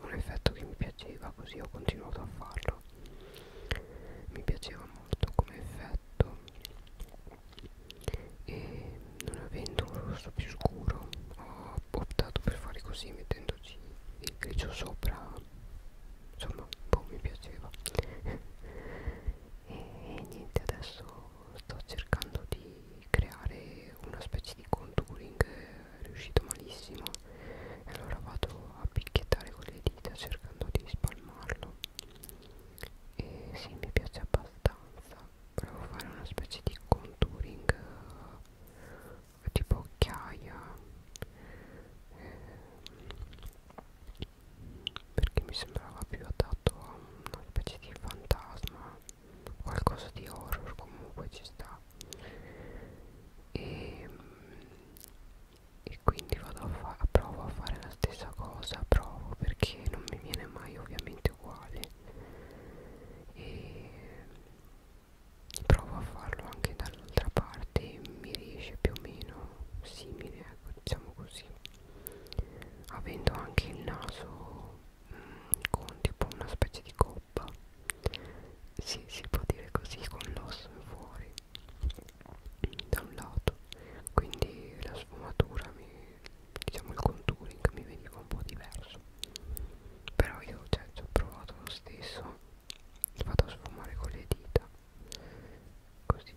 un effetto che mi piaceva così ho continuato a farlo mi piaceva molto come effetto e non avendo un rosso più scuro ho optato per fare così mettendoci il grigio sopra insomma boh, mi piaceva e niente adesso sto cercando di creare una specie di contouring riuscito malissimo e allora vado a picchiettare con le dita cercando di spalmarlo e sì mi piace abbastanza provo fare una specie di contouring eh, tipo occhiaia eh, perché mi sembrava più adatto a una specie di fantasma qualcosa di horror comunque ci sta e, ehm, e quindi vado a, a provo a fare la stessa cosa provo perché non mi viene mai ovviamente uguale e provo a farlo anche dall'altra parte mi riesce più o meno simile ecco diciamo così avendo anche il naso mh, con tipo una specie di coppa si, si può dire così con l'osso fuori da un lato quindi la sfumatura mi, diciamo il contouring mi veniva un po' diverso però io cioè, ci ho provato lo stesso vado a sfumare con le dita così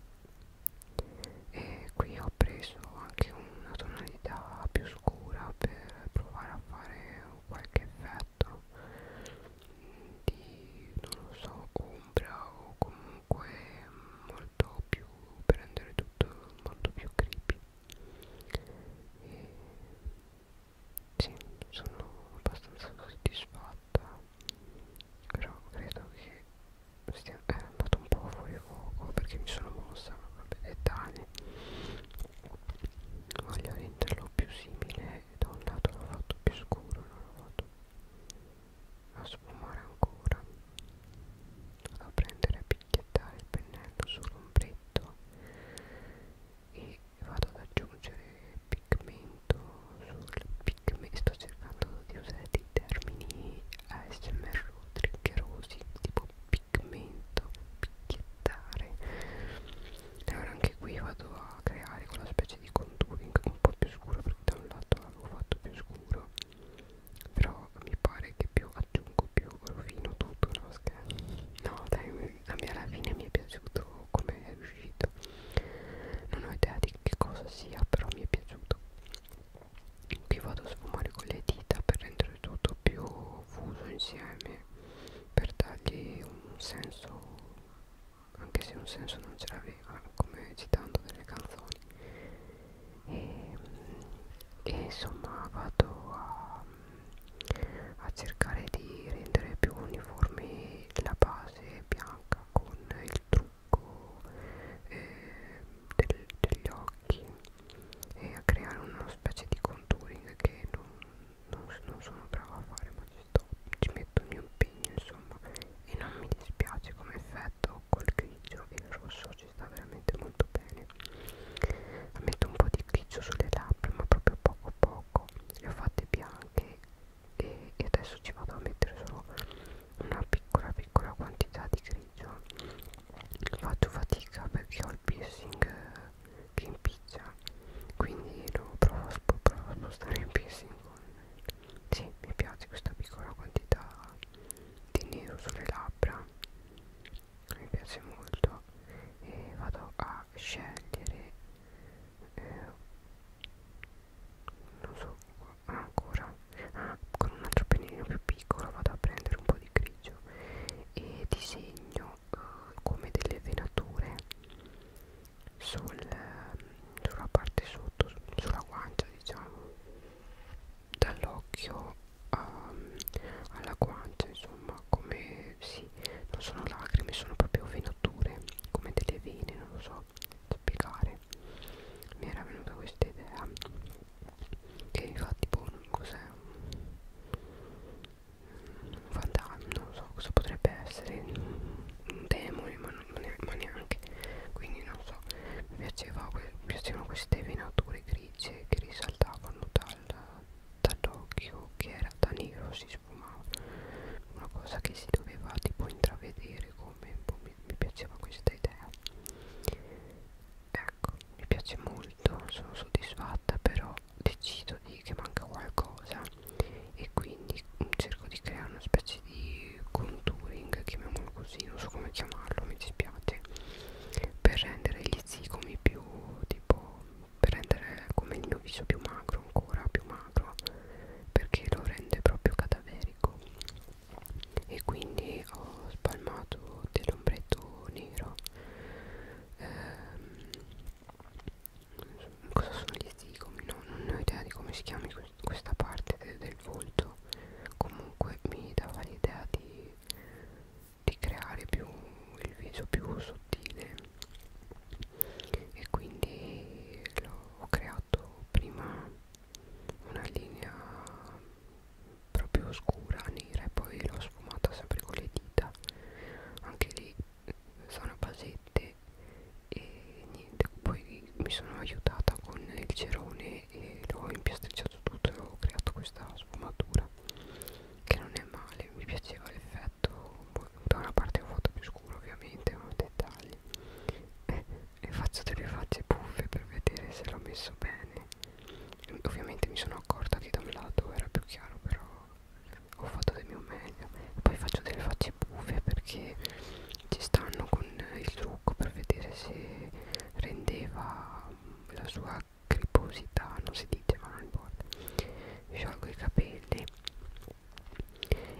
e qui ho preso anche una tonalità più scura per provare a fare o qualche effetto di non lo so ombra o comunque molto più per rendere tutto molto più creepy e sì sono abbastanza soddisfatta però credo che sia eh, andato un po' fuori fuoco perché mi sono mossa proprio dettagli voglio renderlo più simile da un lato l'ho fatto più scuro non l'ho fatto a sfumare ancora vado a prendere a picchiettare il pennello sull'ombretto e vado ad aggiungere pigmento sul pigmento sto cercando di usare dei termini ASMR triggerosi tipo pigmento picchiettare allora anche qui vado a creare quella specie di contouring un po' più scuro perché da un lato l'avevo fatto più scuro però mi pare che più aggiungo più rovino tutto no scherzo no dai a me alla fine mi è piaciuto come è riuscito non ho idea di che cosa sia però mi è piaciuto qui vado a sfumare con le dita per rendere tutto più fuso insieme per dargli un senso anche se un senso non ce l'aveva come citando delle canzoni e, e insomma vado a, a cercare di rendere più uniforme la base bianca con il trucco eh, del, degli occhi e a creare una specie di contouring che non non, non sono brava a fare ma ci sto ci metto il mio impegno insomma e non mi dispiace come effetto col grigio e il rosso ci sta veramente molto bene metto un po' di grigio sulle labbra ma proprio poco poco le ho fatte bianche e, e adesso ci vado a mettere solo una piccola piccola quantità di grigio faccio fatica perché ho il piercing eh, che impiccia quindi lo provo, provo a spostare in piercing con sì, mi piace questa piccola quantità di nero sulle labbra mi piace molto e vado a scegliere eh, non so ancora ah, con un altro pennellino più piccolo vado a prendere un po' di grigio e disegno sono uh, come delle venature sul, sulla parte sotto, sulla guancia diciamo, dall'occhio um, alla guancia, insomma, come sì, non sono lacrime, sono proprio venature, come delle vene, non lo so spiegare. Mi era venuta questa idea che infatti boh, cos'è? un fantasma, non so cosa potrebbe essere, un demone, ma, ne, ma neanche, quindi non so, mi piaceva, piacevano queste venature grigie che risaltavano dal, dall'occhio che era da nero, si sfumava, una cosa che si doveva tipo intravedere come boh, mi, mi piaceva questa idea. Ecco, mi piace molto, sono soddisfatta però decido di, che manca qualcosa e quindi mm, cerco di creare una specie di contouring, chiamiamolo così, non so come chiamarlo, mi dispiace, per rendere gli zigomi più tipo per rendere come il mio viso più magro ancora più magro perché lo rende proprio cadaverico e quindi ho spalmato dell'ombretto nero ehm, cosa sono gli zigomi no, non ho idea di come si chiami questa parte de del volto comunque mi dava l'idea di, di creare più il viso più sottile e quindi ho creato prima una linea proprio scura nera e poi l'ho sfumata sempre con le dita anche lì sono basette e niente poi mi sono aiutata con il cerone e l'ho impiastricciato tutto e ho creato questa sfumatura che non è male mi piaceva l'effetto da una parte ho fatto più scuro ovviamente ma dettagli eh, e faccio delle facce buffe per vedere se l'ho messo bene ovviamente mi sono accorta che da un lato era più chiaro però ho fatto del mio meglio poi faccio delle facce buffe perché ci stanno con il trucco per vedere se rendeva la sua griposità non si dice ma non importa sciolgo i capelli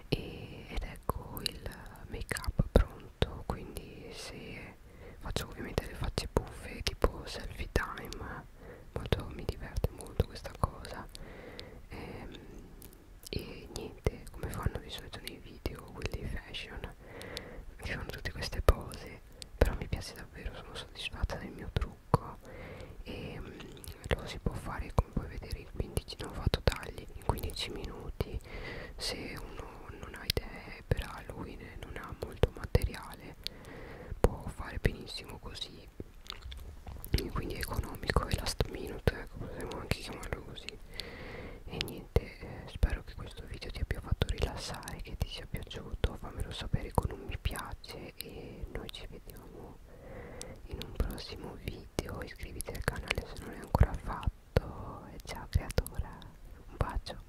e, ed ecco il make up pronto quindi se faccio ovviamente le facce buffe tipo selfie time molto, mi diverte molto questa cosa ehm, e niente come fanno di solito nei video quelli fashion mi fanno tutte queste pose però mi piace davvero sono soddisfatta del mio trucco e ehm, mh, lo si può fare come puoi vedere in 15 non fatto tagli in 15 minuti se uno non ha idee per Halloween non ha molto materiale può fare benissimo così e quindi è economico e last minute ecco, possiamo anche chiamarlo così e niente eh, spero che questo video ti abbia fatto rilassare che ti sia piaciuto fammelo sapere con un mi piace e noi ci vediamo in un prossimo video iscriviti al canale se non è ancora fatto e ciao creatora un bacio